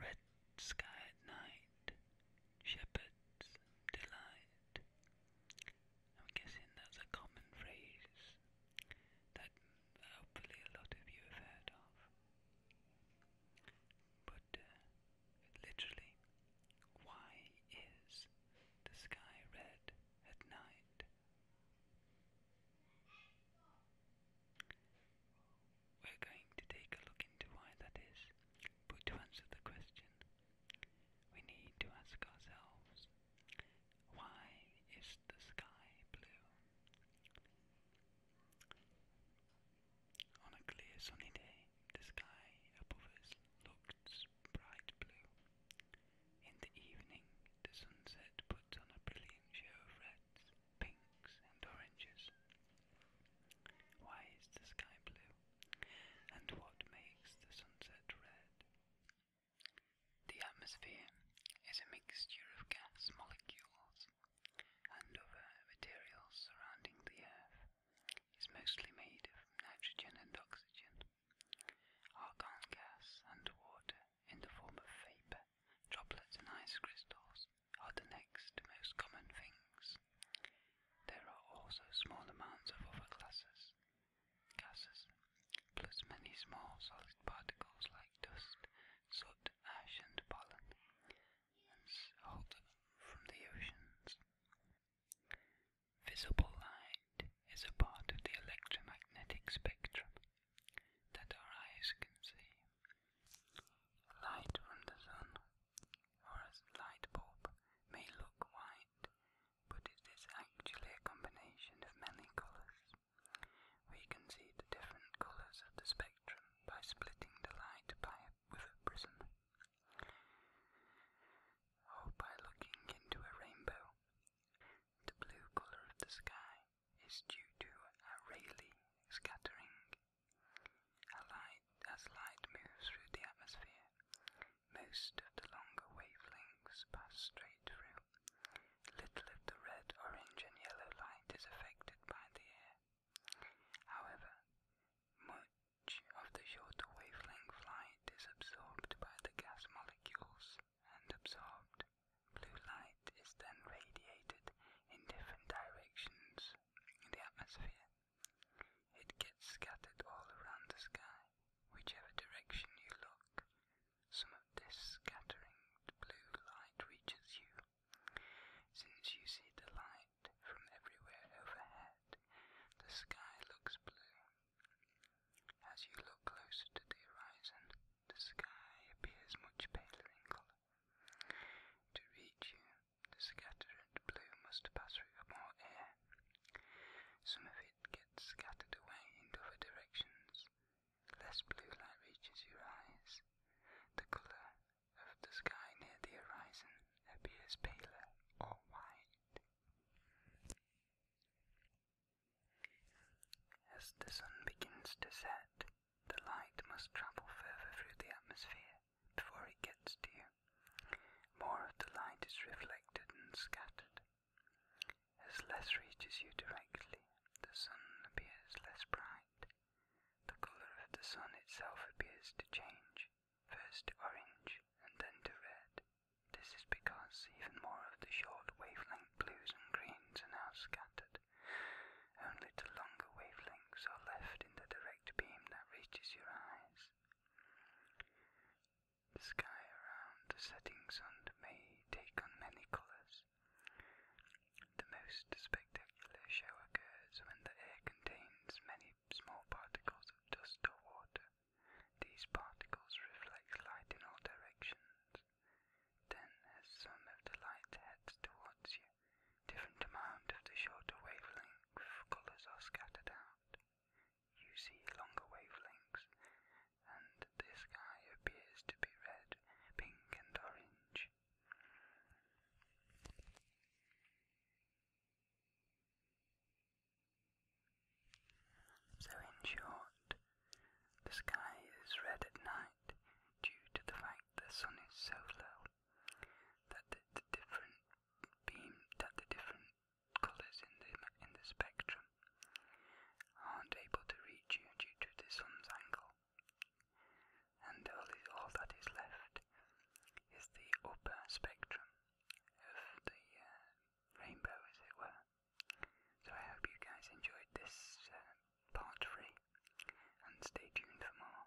Red sky at night, shepherd's delight. I'm guessing that's a common phrase that uh, hopefully a lot of you have heard of. But uh, literally, why is the sky red at night. We're going to take a look into why that is, but to answer the question, we need to ask ourselves, why is the sky blue? On a clear sunny day, the sky above us looked bright blue. In the evening, the sunset puts on a brilliant show of reds, pinks, and oranges. Why is the sky blue? And what makes the sunset red? The atmosphere is a mixture of gas molecules and other materials surrounding the Earth, is mostly made of nitrogen and oxygen, argon gas, and water in the form of vapor. Droplets and ice crystals are the next most common things. There are also small amounts of other gases, plus many small solid particles like dust, soot, ash, and pollen, and so from the oceans. Visible light is a part of the electromagnetic spectrum that our eyes can see. Light from the sun or a light bulb may look white, but it is actually a combination of many colours. We can see the different colours of the spectrum by splitting the light by a prism. Oh, by looking into a rainbow. The blue color of the sky is due to Rayleigh scattering. as light moves through the atmosphere, most of the longer wavelengths pass straight through. Little of the red, orange, and yellow light is affected by the air. However, much of the short wavelength light is absorbed by the gas molecules, and absorbed blue light is then radiated in different directions in the atmosphere. It gets scattered all around the sky, whichever direction you look. Some of this scattering blue light reaches you since you see the light from everywhere overhead, the sky looks blue. As you look closer to the horizon, the sky appears much paler in colour. To reach you, the scattered blue must pass through more air. Some of it gets scattered away in other directions, less blue light reaches your eyes. The color of the sky near the horizon appears paler or white. As the sun begins to set, the light must travel further through the atmosphere before it gets to you. More of the light is reflected and scattered. As less reaches you directly, the sun appears less bright. The colour of the sun itself appears to change, first to orange and then to red. This is because even more of the short wavelength blues and greens are now scattered. Only the longer wavelengths are left in the direct beam that reaches your eyes. The sky around the setting sun may take on many colours, the most spectacular show occurs when the air contains many small particles of dust or water. These particles reflect light in all directions. Then, as some of the light heads towards you, different amounts of the shorter wavelength colors are scattered out. You see longer wavelengths, and the sky appears to be red, pink, and orange. So, in short, the sky is red at night due to the fact the sun is so low that the, different beam that the different colors in the in the spectrum aren't able to reach you due to the sun's angle. And all, that is left is the upper spectrum of the uh, rainbow, as it were. So I hope you guys enjoyed this uh, part three, and stay tuned for more.